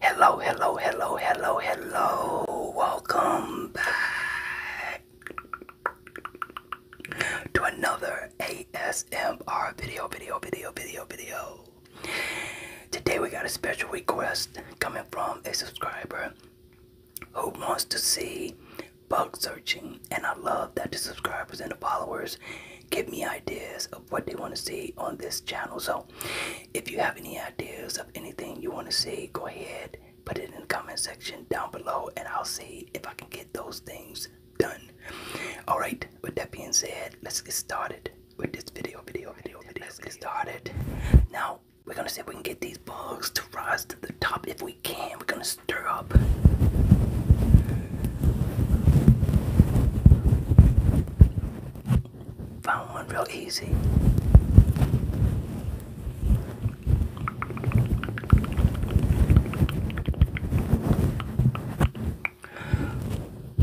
Hello, hello, hello, hello, hello. Welcome back to another ASMR video, video, video, video, video. Today we got a special request coming from a subscriber who wants to see bug searching. And I love that the subscribers and the followers give me ideas of what they want to see on this channel. So if you have any ideas of anything you want to see, go ahead, put it in the comment section down below, and I'll see if I can get those things done. All right. With that being said, let's get started with this video, video, video, video. Let's get started. Now we're gonna see if we can get these bugs to rise to the top. If we can, we're gonna stir up. Found one real easy.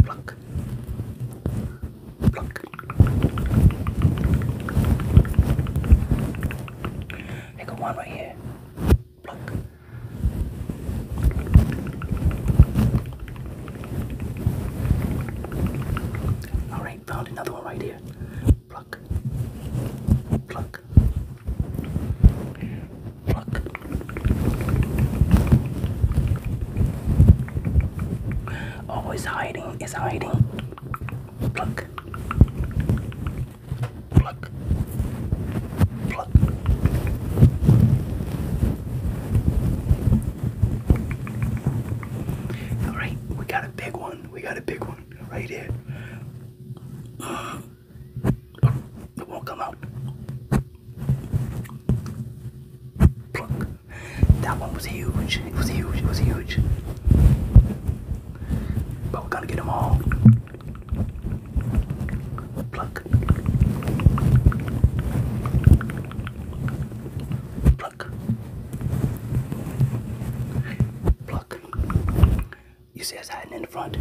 Pluck. Pluck. I got one right here. Pluck. Alright, found another one right here. Pluck. Pluck. Pluck. Oh, hiding. is hiding. Pluck. Pluck. Pluck. All right, we got a big one. We got a big one right here. Uh, it won't come out. Pluck. That one was huge. It was huge. It was huge. But we're gonna get them all. Pluck. Pluck. Pluck. Pluck. You see us hiding in the front.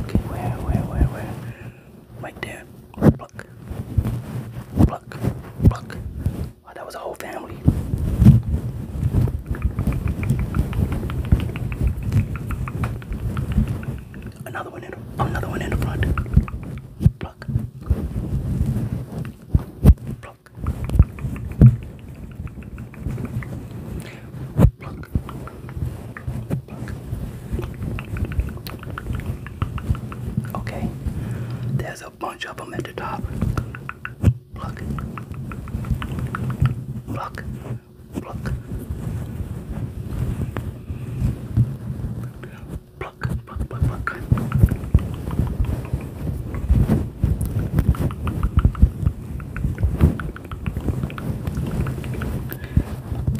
Okay, where, where, where, where? Right there. Pluck. Pluck. Pluck. Oh, that was a whole family. Another one in the, another one in the front. Pluck. Pluck. Pluck. Pluck. Okay. There's a bunch of them at the top. Pluck. Pluck. Pluck pluck, pluck, pluck, pluck.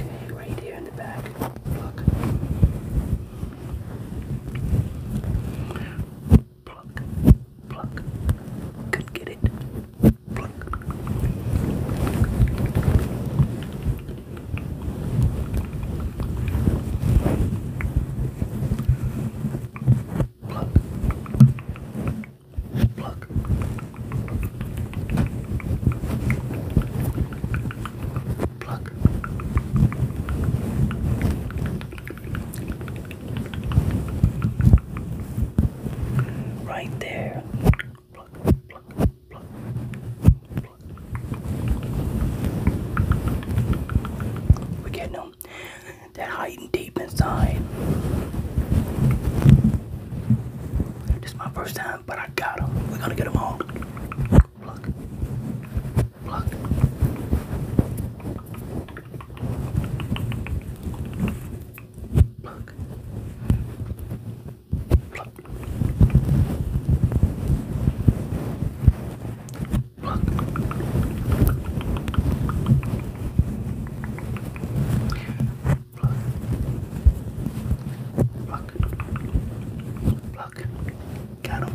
Okay, right here in the back. Pluck. Pluck. Pluck. Could get it. Pluck. Pluck. Pluck. Pluck. Right there. We're getting them. That hiding deep inside. This is my first time, but I got them. We're gonna get them all. Pluck. Pluck. Pluck. Pluck. Got him.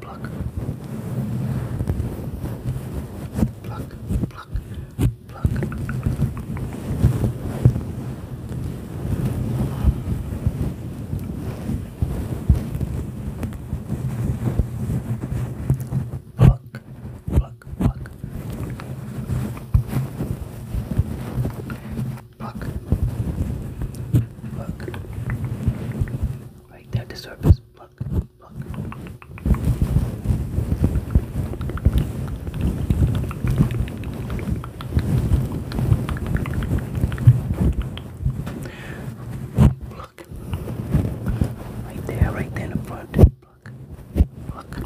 Pluck. Pluck. Pluck. Look. Look, look, look. Look. Look. Right there at the surface. Look, look. Look. Right there, right there in the front. Look. Look.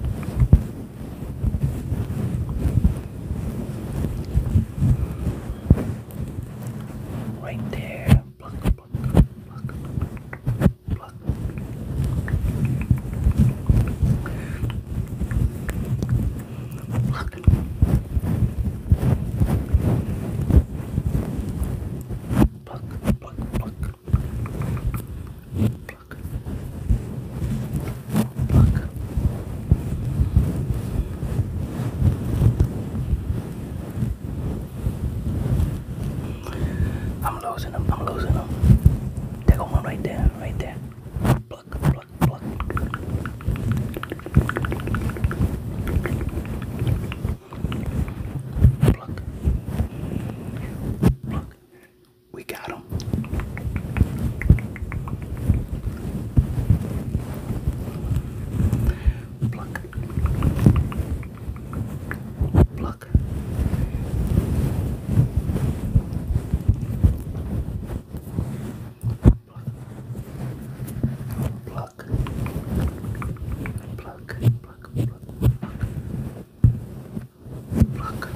Right there. Look, look, look, look. Look. Pluck, pluck, pluck. Pluck. Pluck. I'm losing them. I'm losing them. They go one right there right there. Pluck, pluck, pluck. Pluck. Pluck. We got him. Pluck. Pluck look. Pluck. Pluck. Pluck. Pluck. Pluck. Pluck.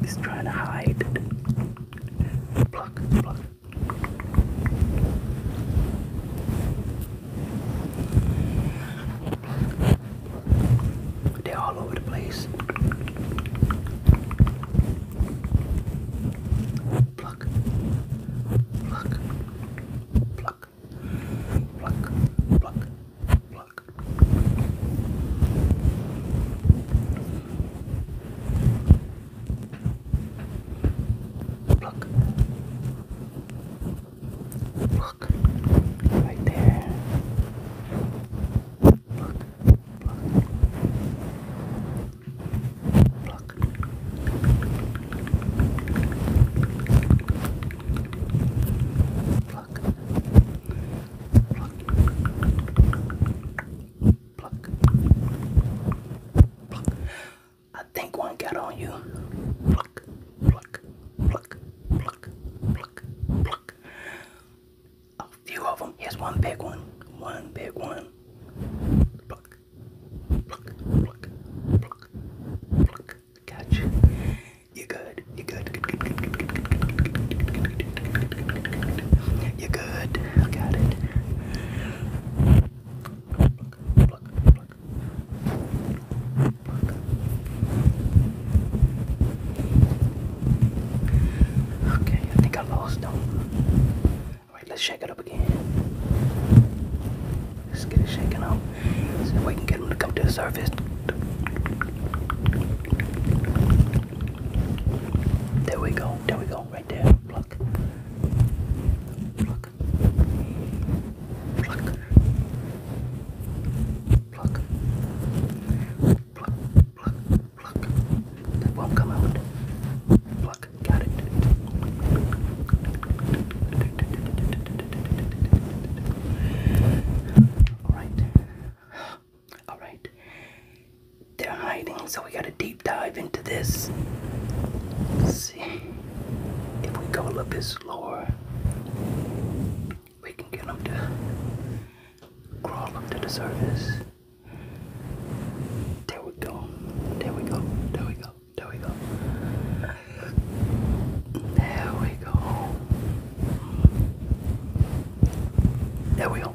He's trying to hide. Pluck, pluck, they're all over the place. Pluck, pluck, pluck, pluck, pluck, pluck. Pluck. Pluck. Right there. Pluck. Pluck. Pluck. Pluck. Pluck. Pluck. Pluck. I think one got on you. Pluck, pluck, pluck, pluck, pluck, pluck. A few of them. Here's one big one. One big one. Pluck, pluck, pluck, pluck, pluck. Catch. Gotcha. you good. you good. you good. I got it. Okay, I think I lost them. Alright, let's shake it up again. Let's get it shaken up. So we can get them to come to the surface. There we go, there we go, right there. Pluck pluck, pluck, pluck, pluck, pluck, pluck. That won't come out. Pluck, got it. Alright. Alright. They're hiding, so we gotta deal dive into this. see if we go a little bit we can get them to crawl up to the surface. There we go. There we go. There we go. There we go. There we go. There we go.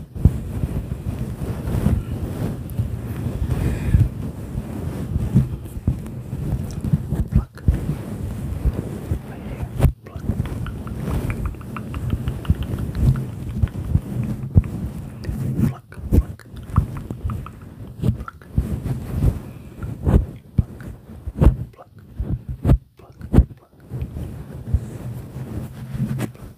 Pluck. Right here. Pluck. Pluck. Pluck. Pluck. Pluck. Pluck. Pluck. Pluck. Pluck.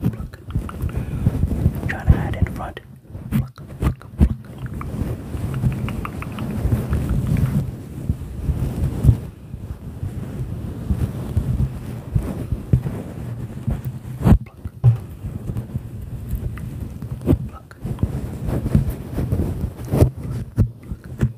Pluck. Trying to hide in front. Pluck, pluck, pluck. Pluck. Pluck. Pluck.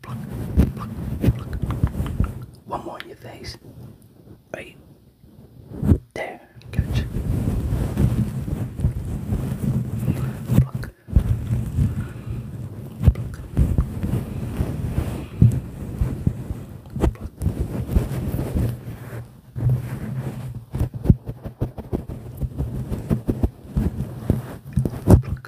pluck, pluck, pluck. One more in your face. Right there, catch. Pluck. Pluck. Pluck. Pluck.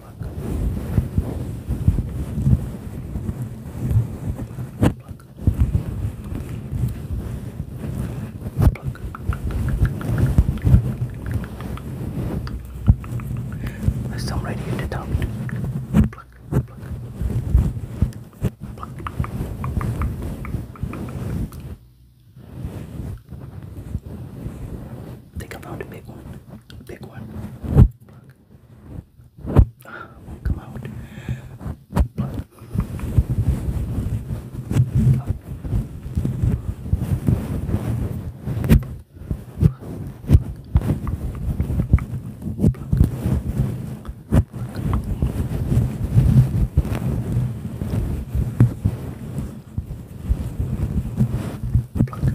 pluck, pluck, pluck. There's some right here to top. Pluck, pluck, pluck. I think I found a big one. A big one. Pluck won't come out. But Pluck.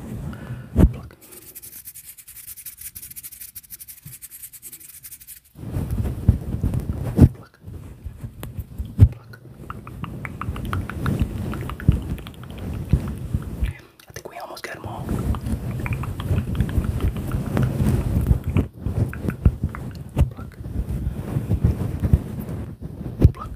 Pluck. Pluck. Pluck. I think we almost got them all. Pluck. Pluck.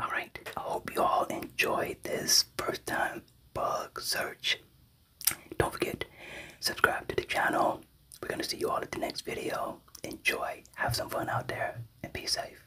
All right. I hope you all enjoyed this first time bug search. Don't forget, subscribe to the channel. We're going to see you all at the next video. Enjoy, have some fun out there, and be safe.